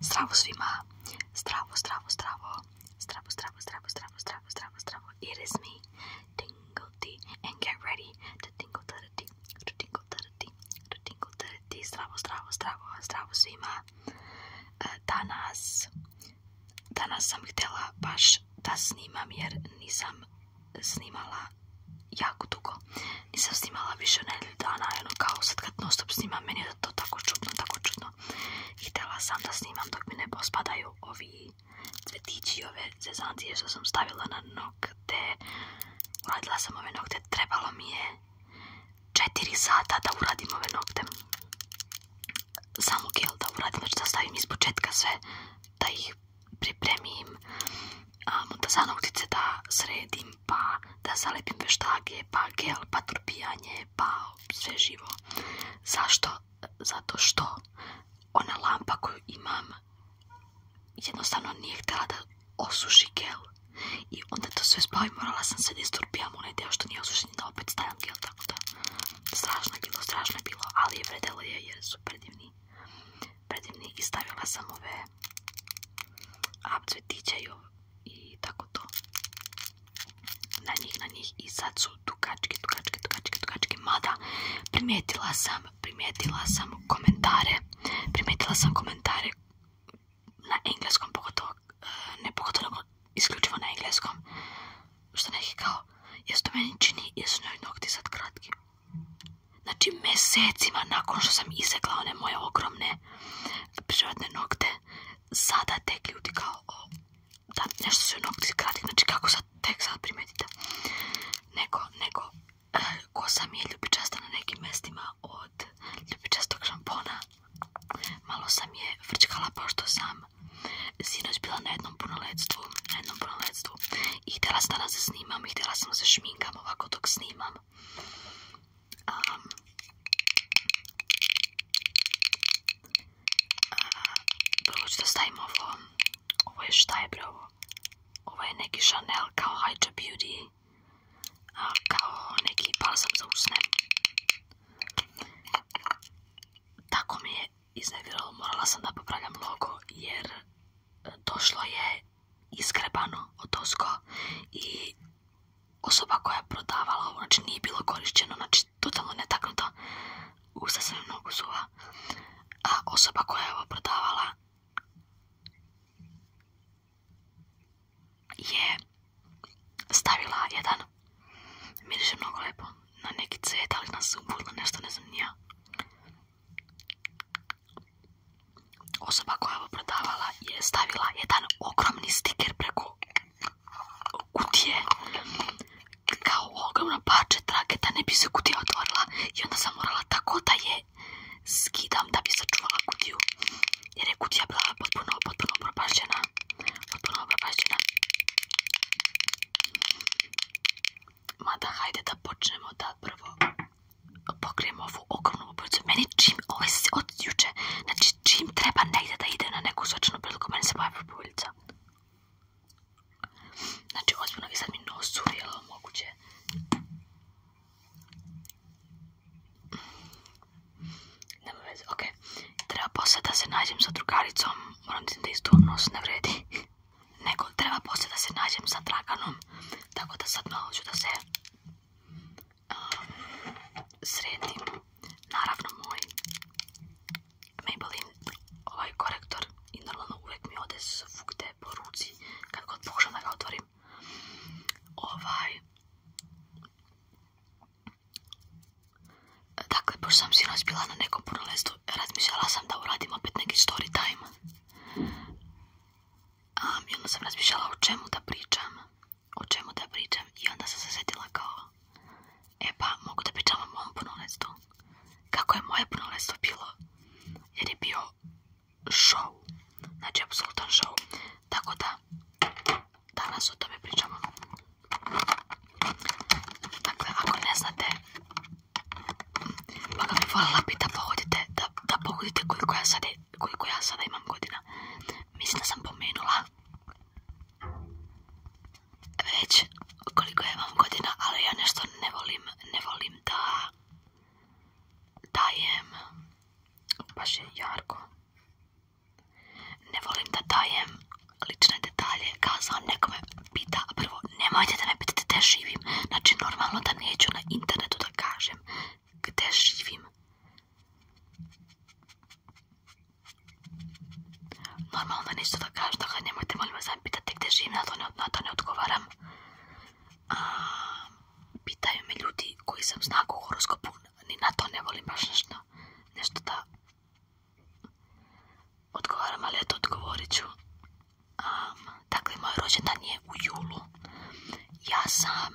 Zdravo svima. Zdravo, zdravo, zdravo. Zdravo, zdravo, zdravo, zdravo, zdravo, zdravo, zdravo. It is me. Tingle ti. And get ready to tingle ti. To tingle ti. To tingle ti. To tingle ti. Zdravo, zdravo, zdravo. Zdravo svima. Eh, danas... Danas sam htjela baš da snimam jer nisam snimala jako dugo. Nisam snimala više nedelje. dana, ono kao sad kad non stop snimam, meni je to tako čudno, tako čudno. Htjela sam da snimam dok mi ne pospadaju ovi cvetići, ove zezancije što sam stavila na nokte. Uradila sam ove nokte, trebalo mi je 4 sata da uradim ove nokte. Samo gel da uradim, znači da stavim iz početka sve, da ih pripremim, a da da sredim, pa da zalepim veštage, pa gel, pa trpijanje, pa sve živo. Zašto? Zato što ona lampa koju imam jednostavno nije htjela da osuši gel. I onda to sve spavim, morala sam se disturpijam onaj deo što nije osušen da opet stavim gel, tako da strašno je bilo, strašno je bilo, ali je vredelo je jer su predivni. Predivni i stavila sam ove apcvetiće i ove i tako to na njih, na njih i sad su tukačke, tukačke, tukačke, tukačke mada primijetila sam primijetila sam komentare primijetila sam komentare na engleskom pogotovo eh, ne pogotovo isključivo na engleskom što neki kao jesu to meni čini jesu njoj nokti sad kratki znači mjesecima nakon što sam izrekla one moje ogromne prirodne nokte, sada tek ljudi kao, da nešto su nokti krati, znači kako sad tek sad primetite. Neko, nego, e, kosa mi je ljubičasta na nekim mestima od ljubičastog šampona. Malo sam je vrčkala pošto sam sinoć bila na jednom punoletstvu, i htjela sam danas da snimam i htjela sam da se šminkam ovako dok snimam Um, uh, prvo ću da stavim ovo, ovo je šta je ovo je neki Chanel kao Hydra Beauty, a, kao neki balsam za usne. Tako mi je izneviralo, morala sam da popravljam logo jer e, došlo je iskrebano o osko i osoba koja je prodavala ovo, znači nije bilo korišćeno, znači totalno netaknuto, U sasvim mnogo suva, a osoba koja je ovo prodavala je stavila jedan, miriše mnogo lepo, na neki cvjet ali nas nešto, ne znam, nija osoba koja je ovo prodavala je stavila jedan ogromni stiker preko kutije kao ogromna pače trake da ne bi se kutija otvorila i onda sam morala tako da je skidam da bi sačuvala kutiju jer je kutija bila potpuno, potpuno propašćena potpuno propašćena mada hajde da počnemo da prvo pokrijem ovu ogromnu obrcu. Meni čim, ovo ovaj se od juče, znači čim treba negdje da ide na neku sočnu priliku, meni se pojavi bubuljica. Znači, ozbiljno, vi sad mi nos uvijelo moguće. Nema veze, okej. Treba poslije da se nađem sa drugaricom, moram ti da isto nos ne vredi. Nego, treba poslije da se nađem sa Draganom, tako da sad malo ću da se Um, sretim Naravno moj Maybelline ovaj korektor i normalno uvijek mi ode te po ruci kad god pokušam da ga otvorim. Ovaj... Dakle, pošto sam sinoć bila na nekom prolestu, razmišljala sam da uradim opet neki story time. I onda sam razmišljala o čemu da pričam, o čemu da pričam i onda sam se sjetila kao e pa mogu da pričam o mom punoletstvu. Kako je moje punoletstvo bilo? Jer je bio show, znači apsolutan show. Tako da danas o tome pričamo. Dakle, ako ne znate, pa bih voljela pa da pogodite, da pogodite koliko ja sad koliko ja sada imam godina. Mislim da sam pomenula već koliko ja imam godina, ali ja nešto ne volim, ne volim da dajem, baš je jarko, ne volim da dajem lične detalje, sam nekome pita, prvo nemojte da me pitate da živim, znači normalno da neću na internetu da kažem gdzie živim? Normalno nešto da kažem, nemate nemojte molim vas da pitati živim, na to ne, odgovaram. pitaju me ljudi koji sam znak u horoskopu, ni na to ne volim baš nešto, da odgovaram, ali eto odgovorit ću. dakle, moj rođendan je u julu. Ja sam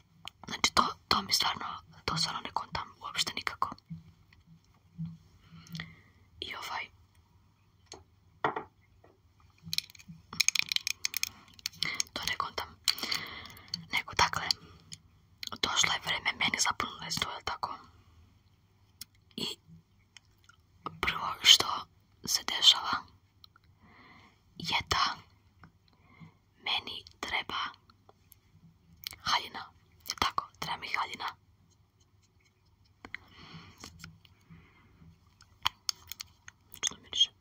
Znači to, to mi stvarno, to stvarno ne kontam uopšte nikako. I ovaj... To ne kontam. Nego, dakle, došlo je vreme meni za je jel tako? I prvo što se dešava je da meni treba haljina. Tako, treba mi haljina. Što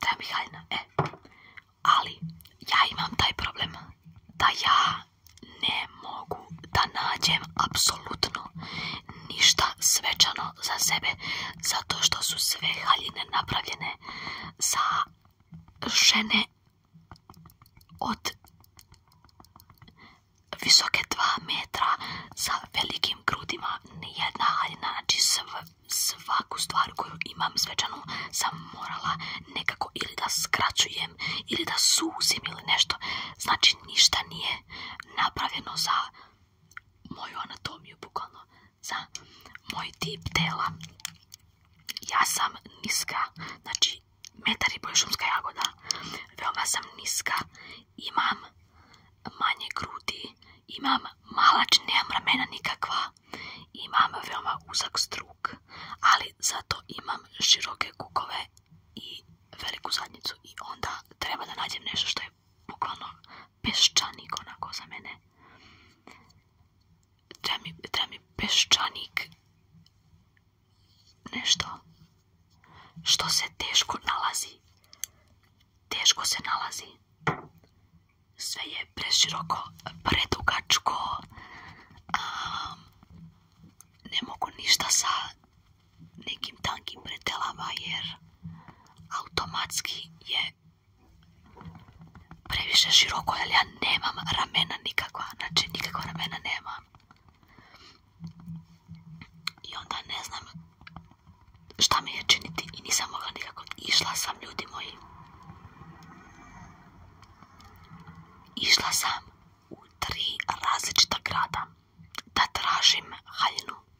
Treba mi haljina, e. Ali ja imam taj problem da ja ne mogu da nađem apsolutno ništa svečano za sebe zato što su sve haljine napravljene za žene od visoke 2 metra sa velikim grudima nijedna haljina znači svaku stvar koju imam svečanu sam morala nekako ili da skraćujem ili da suzim ili nešto znači ništa nije napravljeno za moju anatomiju bukvalno za moj tip tela. Ja sam niska, znači metar i pol šumska jagoda. Veoma sam niska, imam manje grudi, imam malač, nemam ramena nikakva, imam veoma uzak struk, ali zato imam široke kukove i veliku zadnicu i onda treba da nađem nešto što je bukvalno peščanik onako za mene. Treba mi, peščanik nešto što se teško nalazi. Teško se nalazi. Sve je preširoko, predugačko. ne mogu ništa sa nekim tankim pretelama jer automatski je previše široko, jer ja nemam ramena nikakva, znači nikakva ramena nema I onda ne znam šta mi je činiti i nisam mogla nikako. Išla sam, ljudi moji. Išla sam u tri različita grada da tražim haljinu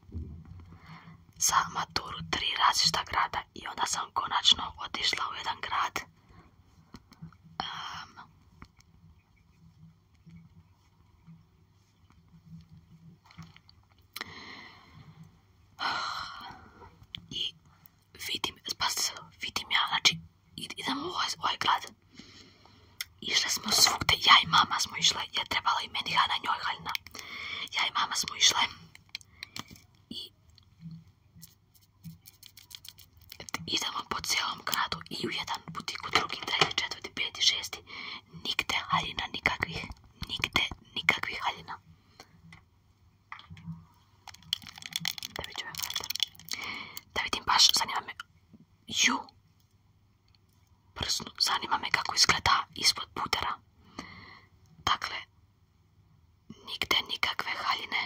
za maturu tri različita grada i onda sam konačno otišla u jedan grad i vidim, spasite se, vidim ja, znači idem u ovaj, ovaj grad išle smo svugde, ja i mama smo išle, je trebala i meni Hana njoj Haljna ja i mama smo išle i idemo po cijelom gradu i u jedan butik, u drugi, treći, četvrti, peti, šesti. Nikde haljina nikakvih, nigde nikakvih haljina. Da vidim baš, zanima me. Ju, prsnu. Zanima me kako izgleda ispod pudera. Dakle, nigde nikakve haljine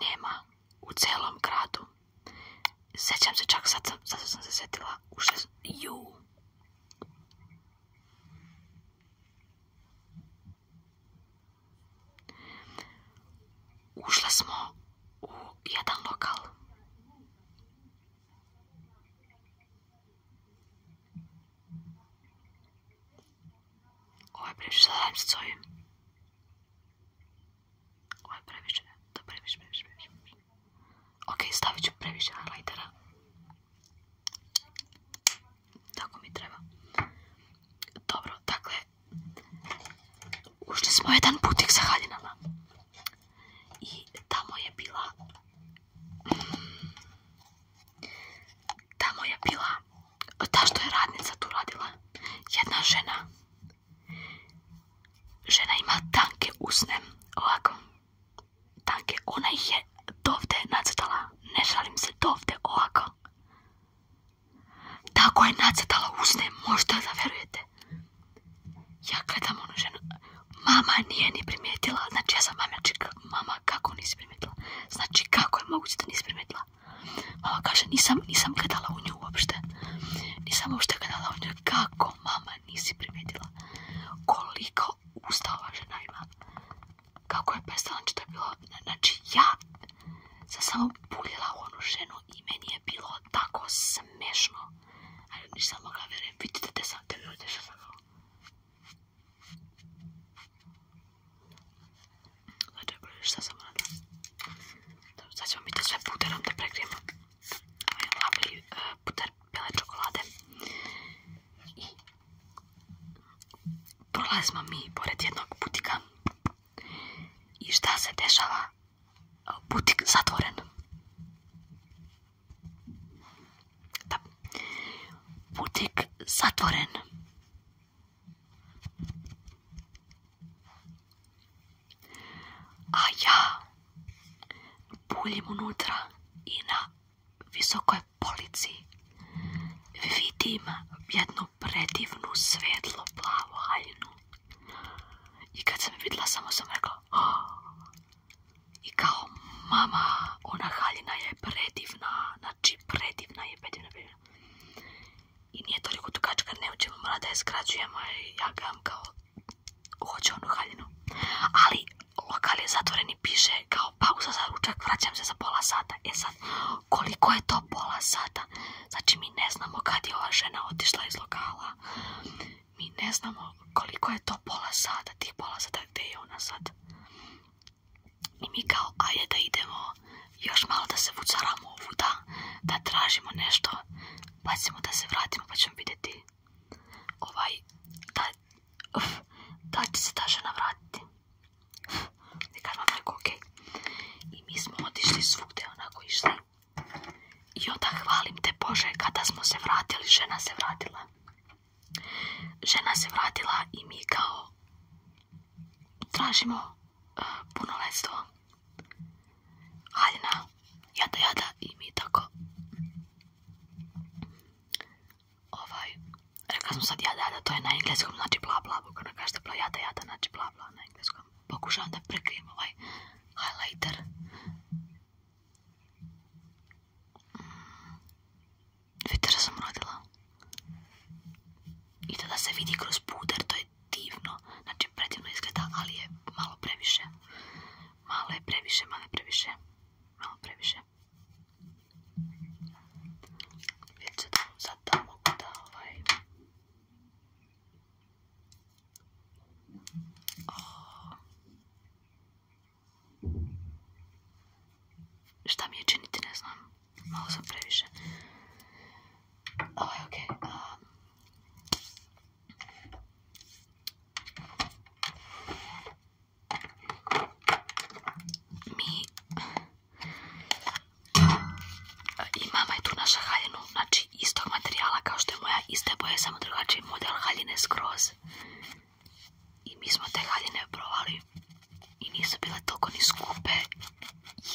nema u celom gradu. Sjećam se čak, sad sam, sad se sjetila, u šest... Ju. Ušle smo u jedan lokal. Ovo je previše, sad dajem se ovim. Ovo je previše, to previše, previše, previše. Ok, stavit ću previše highlightera. Tako mi treba. Dobro, dakle, ušli smo u jedan putik sa haljinama i tamo je bila tamo je bila ta što je radnica tu radila jedna žena žena ima tanke usne ovako tanke, ona ih je dovde nacrtala ne šalim se dovde ovako tako je nacrtala usne možda da verujete ja gledam onu ženu. Mama nije ni primijetila. Znači ja sam mama, mama kako nisi primijetila? Znači kako je moguće da nisi primijetila? Mama kaže nisam, nisam gledala u nju uopšte. Nisam uopšte gledala u nju. Kako mama nisi primijetila? Koliko usta ova žena ima? Kako je prestala? Znači to je bilo, znači ja sam samo puljela u onu ženu i meni je bilo tako smešno. Ali nisam mogla vjeriti. Vidite te sad, te ljudi što sam ovo. Znači, šta sam radila? Dobro, sad ćemo biti sve puterom da prekrijemo. Ovo je lavli e, puter bele čokolade. I prolazimo mi pored jednog butika. I šta se dešava? Butik zatvoren. Da. Butik zatvoren. A ja buljim unutra i na visokoj polici vidim jednu predivnu svetlo plavu haljinu. I kad sam vidjela, samo sam ah, i kao, mama, ona haljina je predivna, znači predivna je, predivna, predivna. I nije toliko dugačka, ne učemo, mora da je skrađujemo, i ja vam kao, hoću onu haljinu. Ali lokal je zatvoren i piše kao pauza za ručak, vraćam se za pola sata. E sad, koliko je to pola sata? Znači mi ne znamo kad je ova žena otišla iz lokala mi ne znamo koliko je to pola sata, tih pola sata gdje je ona sad. I mi kao, ajde da idemo još malo da se vucaramo ovuda, da tražimo nešto, pa ćemo da se vratimo pa ćemo vidjeti ovaj, da, uf, će se ta žena vratiti. Ne kažem vam I mi smo otišli svugde onako išli i onda hvalim te Bože, kada smo se vratili, žena se vratila. Žena se vratila i mi kao tražimo puno eh, punoletstvo. Haljina, jada, jada i mi tako. Ovaj, rekla sam sad jada, jada, to je na engleskom, znači bla, bla, kaže jada, znači bla, na engleskom. Pokušavam da prekrijem ovaj highlighter Viter sam rodila. I to da se vidi kroz puder, to je divno. Znači, predivno izgleda, ali je malo previše. Malo je previše, malo previše. Malo previše. Vidite sad ovaj. Oh. Šta mi je činiti, ne znam. Malo sam previše. Ovo ovaj, je okej. Mi... I mama je tu naša haljenu znači istog materijala kao što je moja, iste boje, samo drugačiji model haljine skroz. I mi smo te haljine provali i nisu bile toliko ni skupe.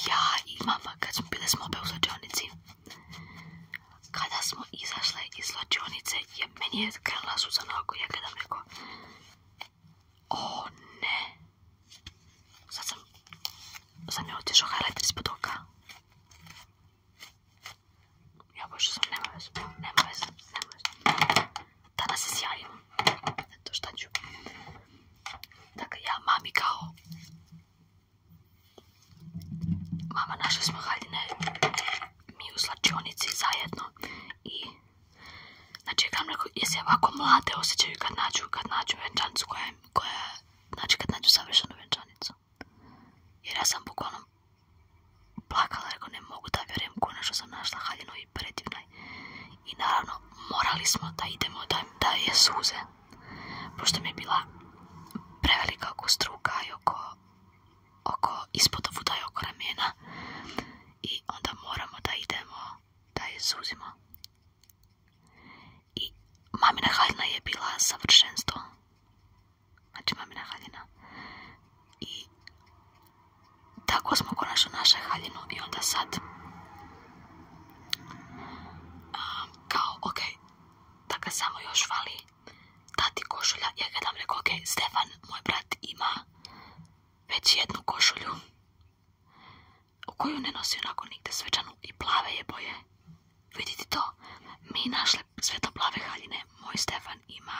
Ja i mama kad smo bile smo u slađonici. Kada smo izašle iz slađonice, je, meni je krenula suza na oko, ja gledam neko. O ne. Sad sam, sam je otišao ispod ja pošto sam nema veze, nema Danas se sjajim. to šta ću. Dakle, ja mami kao... Mama, našli smo haljine. Mi u slačionici zajedno. I... Znači, kam rekao, jesi ovako mlade osjećaju kad nađu, kad nađu venčanicu koja je... znači, kad nađu savršenu venčanicu. Jer ja sam bukvalno plakala, rekao ne mogu da vjerujem što sam našla haljinu i predivna I naravno morali smo da idemo da, je suze, pošto mi je bila prevelika oko struka i oko, oko ispod ovuda i oko ramena. I onda moramo da idemo da je suzimo. I mamina haljina je bila savršenstvo. Znači mamina haljina. I tako smo konačno našli haljinu i onda sad kao ok, da samo još vali tati košulja. Ja ga dam rekao ok, Stefan, moj brat ima već jednu košulju koju ne nosi onako nikde svečanu i plave je boje. Vidite to? Mi našli Svjetlo-plave haljine. Moj Stefan ima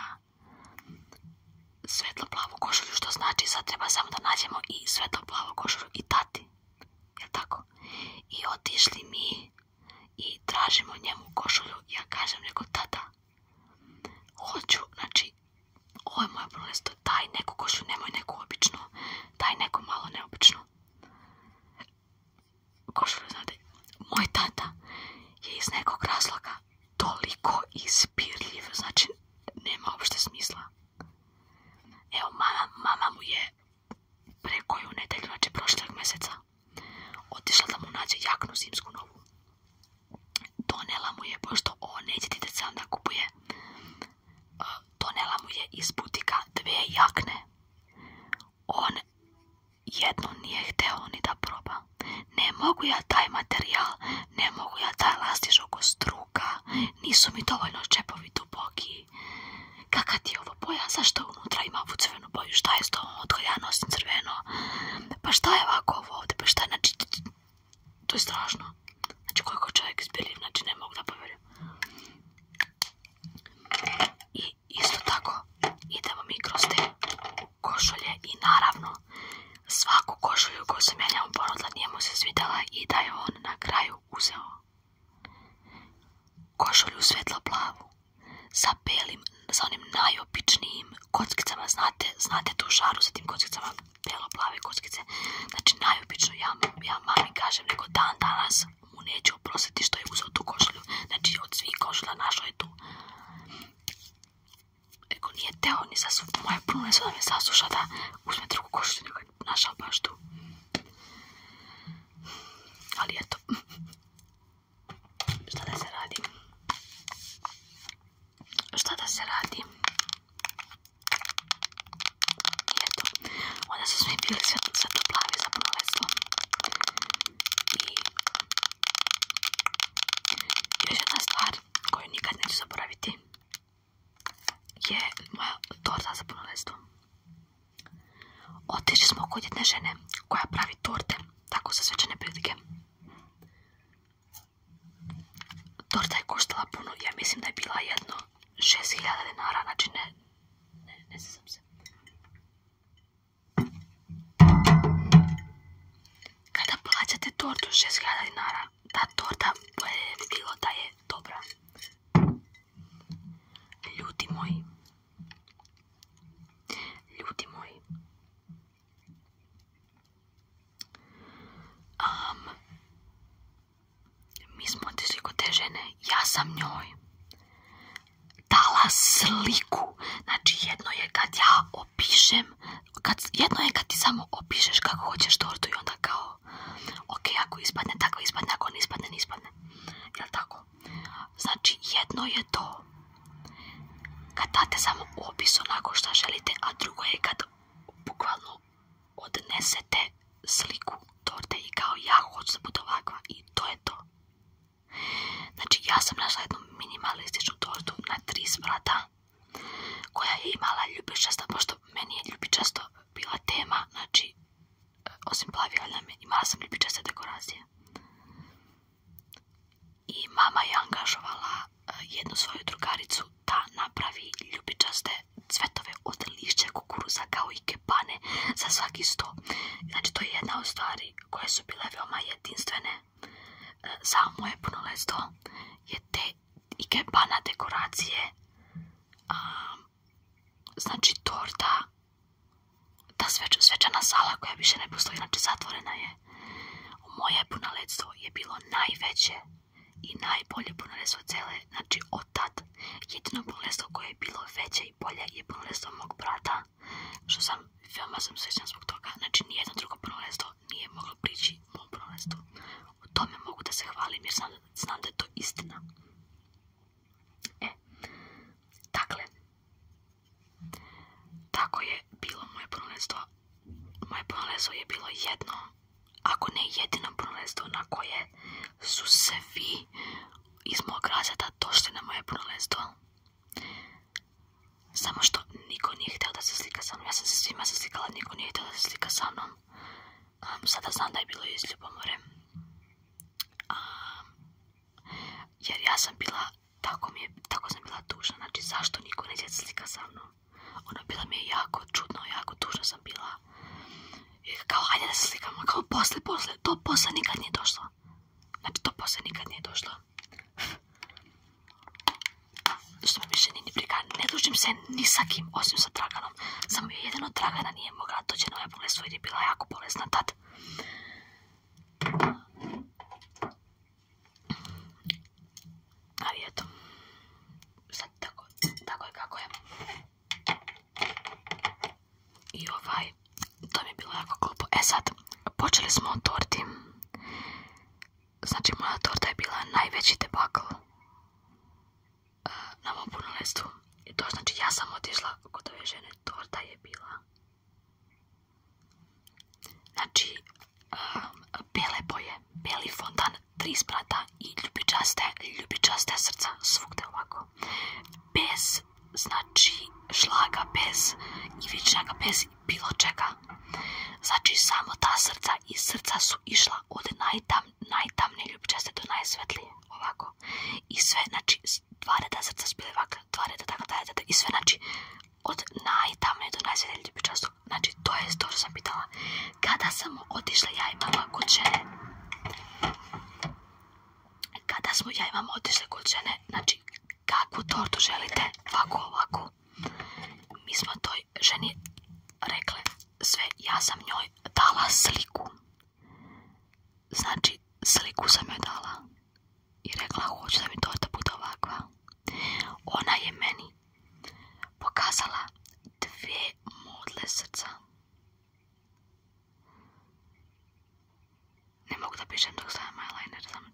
svetloplavu košulju, što znači sad treba samo da nađemo i svjetlo-plavu košulju i tati. Jel tako? I otišli mi i tražimo njemu košulju. Ja kažem neko tata, hoću, znači, ovo je moje prunesto, daj neku košulju, nemoj neku običnu, daj neku malo neobičnu moj tata je iz nekog razloga toliko ispirljiv, znači nema uopšte smisla. Evo, mama, mama mu je preko ju nedelju, znači prošlog mjeseca, otišla da mu nađe jaknu zimsku novu. Donela mu je, pošto on neće sam da kupuje, eh, donela mu je iz butika dve jakne. On jedno nije hteo ni da proba. Ne mogu ja taj materijal, ne mogu ja taj lastiš oko struka, nisu mi dovoljno čepovi duboki. Kaka ti je ovo boja, zašto unutra ima ovu crvenu boju, šta je s tom, crveno? Pa šta je ovako ovo ovdje, pa šta je, znači, to je strašno. Znači koliko čovjek izbeli, znači ne mogu da poverim. I isto tako idemo mi kroz te košulje i naravno svaku košulju koju sam ja njemu ponudila nije mu se svidjela i da je on na kraju uzeo košulju svetlo plavu sa belim, sa onim najobičnijim kockicama, znate, znate tu šaru sa tim kockicama, belo plave kockice, znači najopičnu ja, vam mami kažem nego dan danas mu neću oprostiti što je uzeo tu košulju. Znači od svih košulja našao je tu. Eko nije teo ni sasuša, moja pruna da me sasuša da uzme drugu košulju nego je našao baš tu. Ali eto, šta da se radi? Šta da se radi? I eto, onda su svi bili plave za punoletstvo. I još jedna stvar koju nikad neću zaboraviti je moja torta za punoletstvo. Otišli smo kod jedne žene koja pravi torte, tako za svečane prilike. Torta je koštala puno, ja mislim da je bila jedno 6000 dinara, znači ne, ne, ne sam se. Kada plaćate tortu 6000 dinara, ta torta bi bilo da je dobra. Ljudi moji. Ljudi moji. Um, mi smo otišli kod te žene, ja sam njoj dala sliku, znači jedno je kad ja opišem, jedno je kad ti samo opišeš kako hoćeš tortu i onda kao, ok, ako ispadne, tako ispadne, ako ne ispadne, ne ispadne, jel tako? Znači jedno je to kad date samo opis onako što želite, a drugo je kad bukvalno odnesete sliku torte i kao ja hoću da bude ovakva i to je to. Znači ja sam našla jednu minimalističnu tortu na tri sprata koja je imala ljubičasta, pošto meni je ljubičasto bila tema, znači osim plavijalja imala sam ljubičaste dekoracije. I mama je angažovala eh, jednu svoju drugaricu da napravi ljubičaste cvetove od lišća kukuruza kao i pane za svaki sto. Znači, to je jedna od stvari koje su bile veoma jedinstvene e, za moje leto je te ikebana dekoracije, znači torta, ta svečana sala koja više ne postoji, znači zatvorena je. Moje punoletstvo je bilo najveće i najbolje punoletstvo cele, znači od tad jedino koje je bilo veće i polje je prvenstvo mog brata, što sam, veoma sam svećan zbog toga, znači nijedno drugo prvenstvo nije moglo prići mom prvenstvu. U tome mogu da se hvalim jer znam, da je to istina. E, dakle, tako je bilo moje prvenstvo. Moje prvenstvo je bilo jedno, ako ne jedino prvenstvo na koje su se vi iz mog razreda došli na moje punoletstvo. Samo što niko nije htio da se slika sa mnom. Ja sam se svima zaslikala, niko nije htio da se slika sa mnom. sada znam da je bilo iz ljubomore. jer ja sam bila, tako, mi je, tako sam bila tužna. Znači zašto niko se slika sa mnom? Ona bila mi je jako čudno, jako tužna sam bila. I kao, hajde da se slikamo, kao posle, posle, to posle nikad nije došlo. Znači, to posle nikad nije došlo. Što mi više nije briga, ne dužim se ni sa kim, osim sa Draganom. Samo je jedino Dragana nije mogla doći na moje bolestvo jer je bila jako bolesna tad. Ali eto, sad tako, tako je kako je. I ovaj, to mi je bilo jako glupo. E sad, počeli smo od torti. Znači, moja torta je bila najveći debakl e, na mom I to znači, ja sam otišla kod ove žene. Torta je bila. Znači, e, bele boje, beli fontan, tri sprata i ljubičaste, ljubičaste srca svugde ovako bez, znači šlaga, bez ivičnjaka, bez bilo čega. Znači samo ta srca i srca su išla od najtam, najtamne ljubčaste do najsvetlije, ovako. I sve, znači, dva reda srca su bile ovako, dva reda, tako, je i sve, znači, od najtamne do najsvetlije ljubčaste. Znači, to je to što sam pitala. Kada sam otišla ja i mama kod žene, kada smo ja imam otišli kod žene, znači kakvu tortu želite, ovako ovako. Mi smo toj ženi rekli sve, ja sam njoj dala sliku. Znači sliku sam joj dala i rekla hoću da mi torta bude ovakva. Ona je meni pokazala dvije modle srca. Ne mogu da pišem dok stavim eyeliner, samo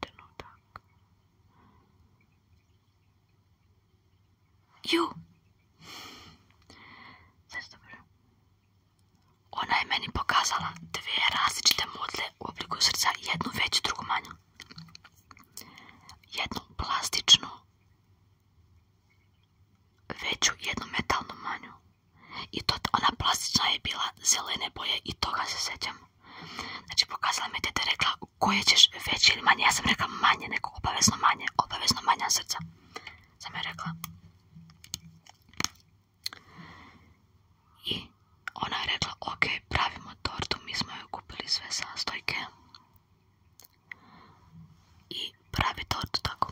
Ju! Sve dobro. Ona je meni pokazala dvije različite modle u obliku srca, jednu veću, drugu manju. Jednu plastičnu veću jednu metalnu manju. I to, ona plastična je bila zelene boje i toga se sjećam. Znači pokazala mi tete rekla koje ćeš veće ili manje. Ja sam rekla manje, neko obavezno manje, obavezno manja srca. Sam je rekla. I ona je rekla, ok, pravimo tortu, mi smo joj kupili sve sastojke. I pravi tortu tako.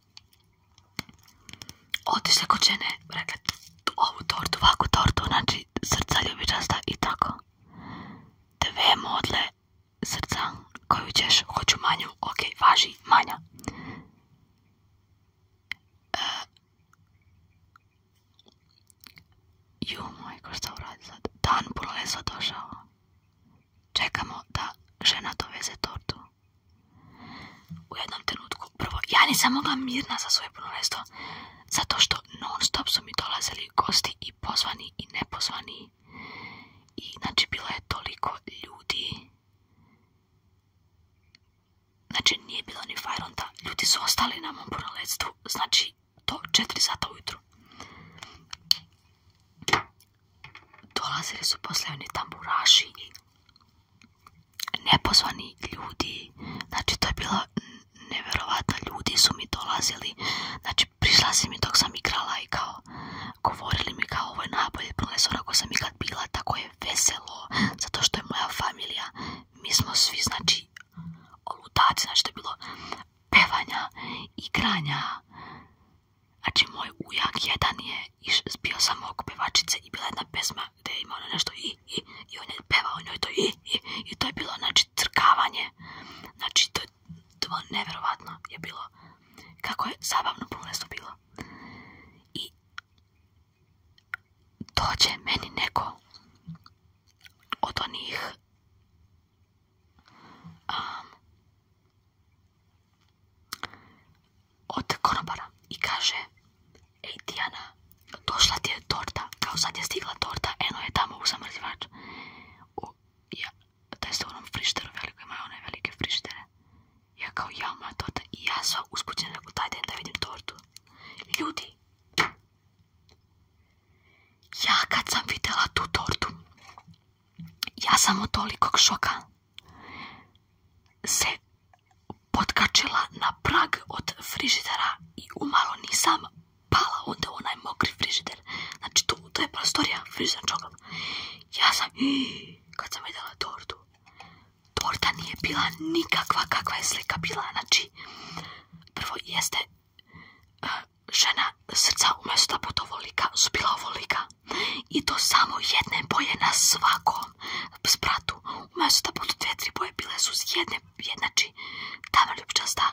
Otišle kod žene, rekla ovu tortu, ovakvu tortu, znači srca ljubičasta i tako. Dve modle srca koju ćeš, hoću manju, ok, važi, manja. Uh, ju moj, ko šta uradi sad? Dan puno došao čekamo da žena doveze tortu. U jednom trenutku, prvo, ja nisam mogla mirna za svoje punolestvo, zato što non stop su mi dolazili gosti i pozvani i nepozvani. I znači bilo je toliko ljudi. Znači nije bilo ni fajronta. Ljudi su ostali na mom punoletstvu, znači do 4 sata ujutru dolazili su posle oni tamburaši nepozvani ljudi, znači to je bilo neverovatno, ljudi su mi dolazili, znači prišla mi dok sam igrala i kao govorili mi kao ovo je najbolje profesora ako sam ikad bila, tako je veselo, zato što je moja familija, mi smo svi znači ludaci, znači to je bilo pevanja, igranja, Znači, moj ujak jedan je bio samo oko pevačice i bila jedna pesma gdje je imao ono nešto i, i, i on je pevao njoj ono to i, i, to je bilo, znači, crkavanje. Znači, to je je bilo. Kako je zabavno prvenstvo bilo. I dođe meni neko od onih od konobara i kaže Ej Diana, došla ti je torta, kao sad je stigla torta, eno je tamo u zamrzivač. U, ja, se onom frišteru veliko, imaju one velike frištere. Ja kao, ja moja torta i ja sam uskućena, u taj da vidim tortu. Ljudi, ja kad sam vidjela tu tortu, ja sam od tolikog šoka se potkačila na prag od frižidera i umalo nisam pala onda onaj mokri frižider. Znači to, to je prostorija frižidera. Ja sam, kad sam vidjela tortu, torta nije bila nikakva kakva je slika bila. Znači, prvo jeste eh, žena srca umjesto da bude ovolika, su bila ovolika i to samo jedne boje na svakom spratu. Umesto da budu dvije, tri boje bile su jedne, znači tamna ljubčasta,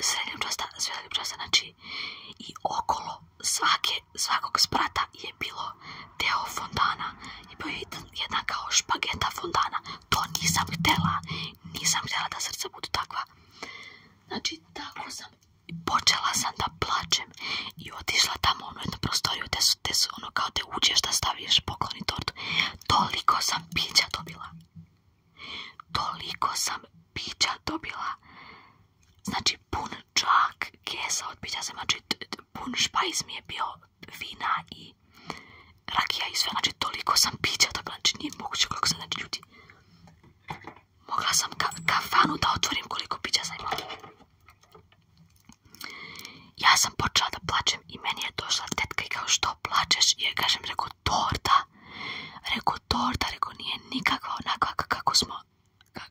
srednje ljubčasta, ljubčasta, znači i okolo svake, svakog sprata je bilo deo fondana i bio je jedna kao špageta fondana. To nisam htjela, nisam htjela da srca budu takva. Znači, tako sam i počela sam da plačem i otišla tamo u ono jednu prostoriju gdje su, te ono kao te uđeš da staviš i tortu. Toliko sam pića dobila. Toliko sam pića dobila. Znači pun čak kesa od pića sam, znači pun špajz mi je bio vina i rakija i sve. Znači toliko sam pića dobila, znači nije moguće koliko sam, znači ljudi. Mogla sam ka kafanu da otvorim koliko pića sam imala. Ja sam počela da plačem i meni je došla tetka i kao što plačeš i ja kažem reko torta. Reko torta, reko nije nikakva onakva kako smo,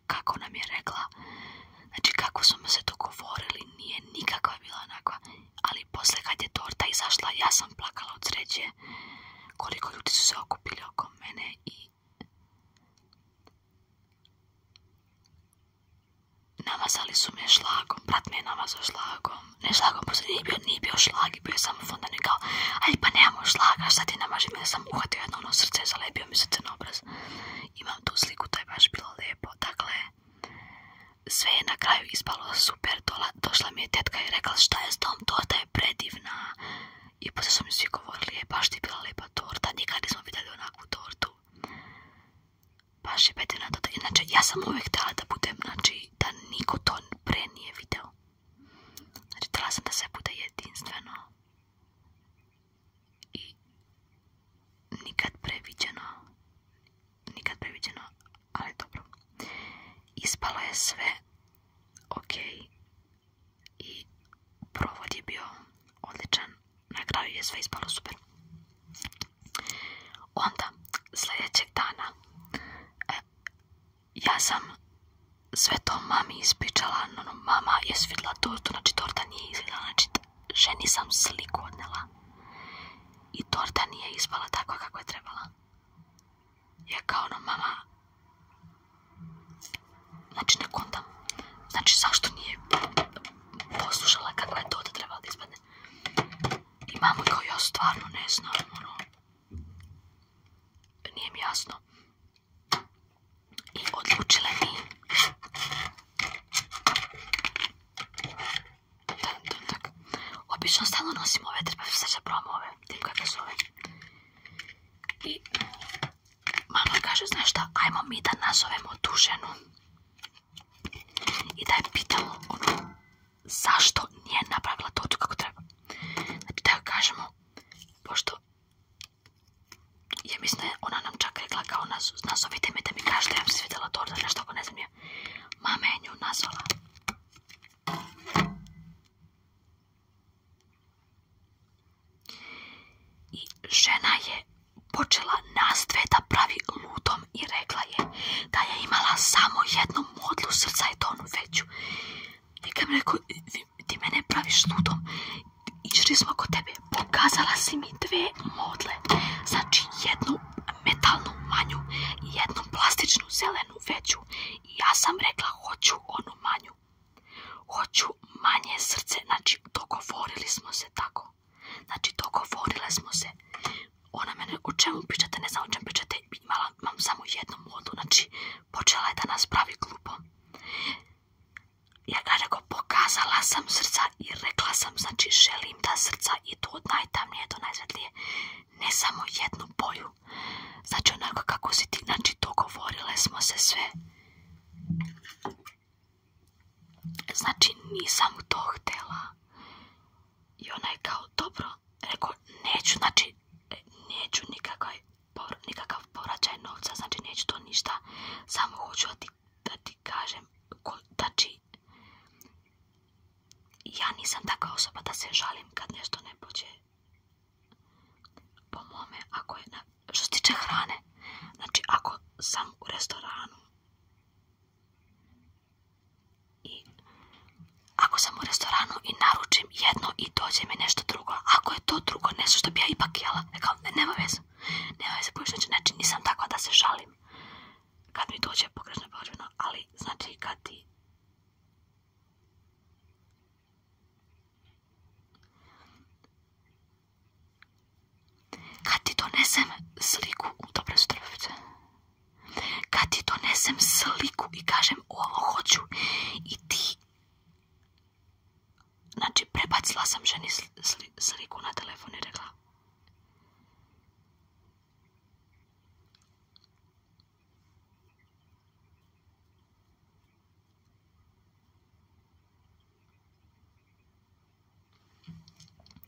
kako nam je rekla. Znači kako smo se dogovorili nije nikakva bila onakva. Ali posle kad je torta izašla ja sam plakala od sreće koliko ljudi su se okupili oko mene i Namazali su me šlagom, brat me je namazao šlagom. Ne šlagom, nije bio, bio šlag i bio je samo fondan i kao, aj pa nemamo šlaga, šta ti namaži sam uhvatio jedno ono srce za zalepio mi se obraz. Imam tu sliku, to je baš bilo lijepo. Dakle, sve je na kraju ispalo super. tola došla mi je tetka i rekla šta je s tom, to je predivna. I pose su mi svi govorili, je baš ti bila lepa torta, nikad nismo vidjeli onakvu tortu. Baš je bedina torta. Inače, ja sam uvijek htjela da budem, znači, da niko to pre nije video. Znači, htjela sam da se bude jedinstveno. I nikad previđeno. Nikad previđeno, ali dobro. Ispalo je sve ok, i provod je bio odličan, na kraju je sve ispalo super. Onda, sljedećeg dana, e, ja sam sve to mami ispričala, no, mama je svidla tortu, znači torta nije izgledala, znači ženi sam sliku odnela i torta nije ispala tako kako je trebala. Ja kao ono, mama, Znači, ne kontam. Znači, zašto nije poslušala kakva je to da treba da ispadne? I kao, ja stvarno ne znam, ono. Nije mi jasno. I odlučila mi Obično stalno nosimo ove, treba se sad ove, tim kakve su ove. I Mama kaže, znaš šta, ajmo mi da nazovemo tu I da je pitamo ono, zašto nije napravila to kako treba. Znači da joj kažemo, pošto ja mislim da je ona nam čak rekla kao nazovite me da mi kažete, ja bi se torta, nešto ako ne znam je. Mama je nju nazvala. I žena je počela nas dve da pravi lutom i rekla je da je imala samo jednu modlu srca i tonu veću. I kad mi rekao, ti mene praviš lutom išli smo kod tebe, pokazala si mi dve modle, znači jednu metalnu manju i jednu plastičnu zelenu veću. ja sam rekla, hoću onu manju. Hoću manje srce, znači dogovorili smo se tako. Znači dogovorili smo se. Ona mene, o čemu pričate, ne znam o čemu pričate, imam samo jednu modu, znači počela je da nas pravi glupo Ja ga pokazala sam srca i rekla sam, znači želim da srca idu od najtamnije do najsvetlije. Ne samo jednu boju, Znači onako kako si ti, znači govorile smo se sve. Znači nisam to htjela. I ona kao dobro, rekao neću, znači e, neću nikakav, nikakav povraćaj novca, znači neću to ništa, samo hoću da ti, da ti kažem, znači ja nisam takva osoba da se žalim kad nešto ne pođe po mome, ako je, na, što se tiče hrane, znači ako sam u restoranu i ako sam u restoranu i naručim jedno i dođe mi nešto drugo, ako je to drugo nešto što bi ja ipak jela, e, kao, nema veze, nema veze, znači nisam tako da se žalim kad mi dođe pogrešno pođeno, ali znači kad ti kad ti donesem sliku, dobre su Kad ti donesem sliku i kažem ovo hoću i ti... Znači, prebacila sam ženi sliku na telefon i rekla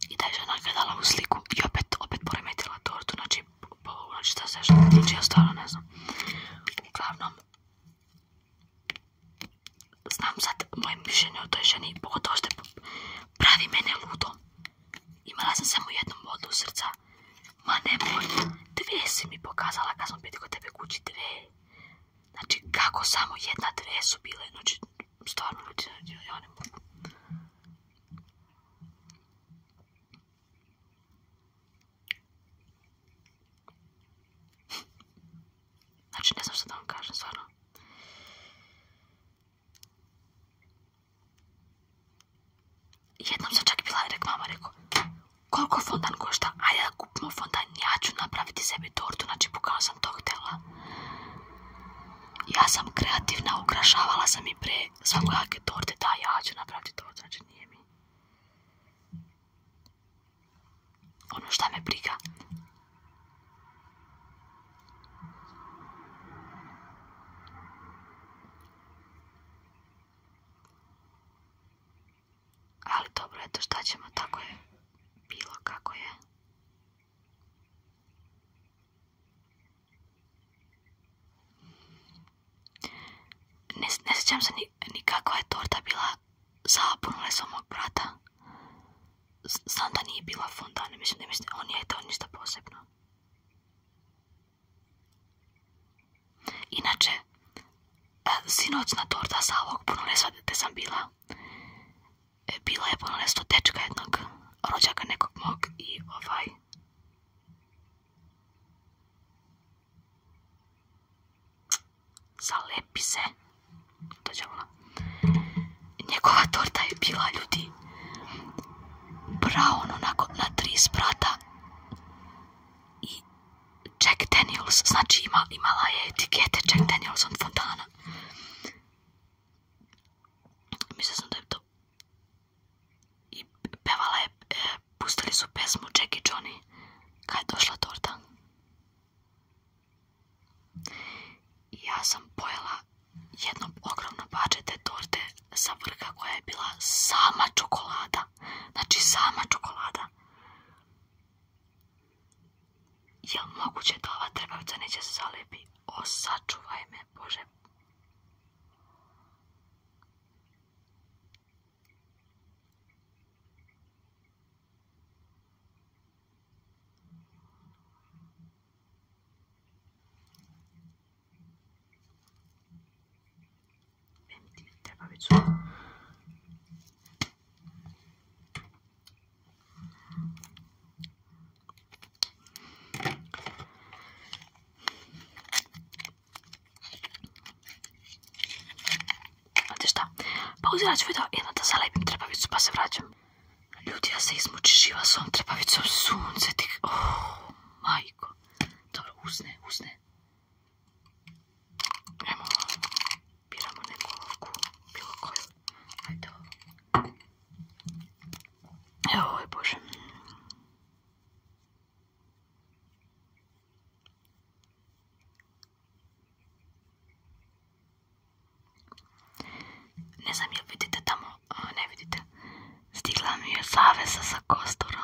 i taj žena ga u sliku i opet, opet poremetila tortu, znači, znači šta se što tiče, znači, ja stvarno ne znam. Uglavnom, znam sad moje mišljenje o toj ženi, pogotovo što pravi mene ludom. Imala sam samo jednu modu srca Ma nemoj, dve si mi pokazala kad sam bili kod tebe kući, dve. Znači, kako samo jedna dve su bile, znači, stvarno ljudi, znači, ja ne mogu. Znači, ne znam što da vam kažem, stvarno. Jednom sam čak bila i rekao, mama rekao, koliko fondan košta, ajde da kupimo fondan, ja ću napraviti sebi tortu, znači bukvalno sam to htjela. Ja sam kreativna, ukrašavala sam i pre jake torte, da ja ću napraviti tortu, znači nije mi. Ono šta me briga. Ali dobro, eto šta ćemo, tako je bilo kako je. Ne, ne sjećam se ni, je torta bila zapunule svog mog brata. Znam nije bila fondane, mislim da on je to ništa posebno. Inače, pa sinoćna torta sa ovog punolestva te sam bila, e, bila je nesto tečka jednog rođaka nekog mog i ovaj... Zalepi se. To Njegova torta je bila, ljudi, brown, onako, na tri sprata i Jack Daniels, znači imala je etikete Jack Daniels od fontana. sam da je to... I pevala je, e, pustili su pesmu Jack i Johnny kad je došla torta. ja sam pojela jedno ogromno te torte sa vrga koja je bila sama čokolada čokolada. Znači sama čokolada. Jel moguće da ova trbavca neće se zalijepi? O, sačuvaj me, Bože treba već Znate šta? Pa uziraću video jedno da zalepim trepavicu pa se vraćam. Ljudi, ja se izmuči živa s ovom sunce. tih Oh, majko. Dobro, usne, usne. Evo, biramo neku olovku, bilo koju. Ajde ovo. Evo ovo ovaj, je Bože. Ne znam jel vidite tamo, ne vidite. Stigla mi je zavesa sa kostura.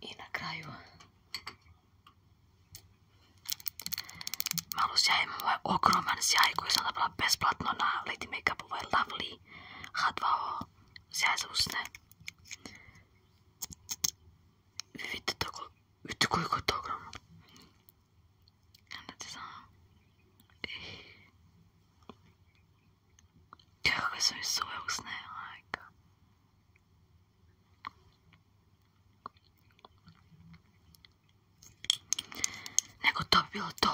i na kraju malo sjaj, moj ogroman sjaj koji sam dobila besplatno na Lady Makeup, ovaj Lovely H2O sjaj za usne. Vi vidite, tako, vidite koliko je to ogromno. Kanske så är sågsnära. Nego to bilo to.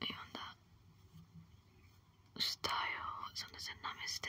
I onda šta je ovo? da se nameste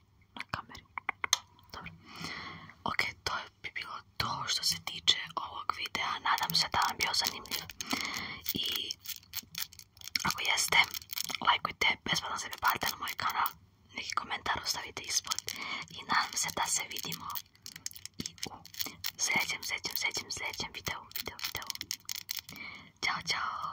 na kameru. Dobro. Ok, to bi bilo to što se tiče ovog videa. Nadam se da vam bio zanimljiv. I ako jeste, lajkujte, besplatno se pripalite na moj kanal. Neki komentar ostavite ispod. I nadam se da se vidimo i u sljedećem, sljedećem, sljedećem, sljedećem videu, videu, videu. Ćao, čao!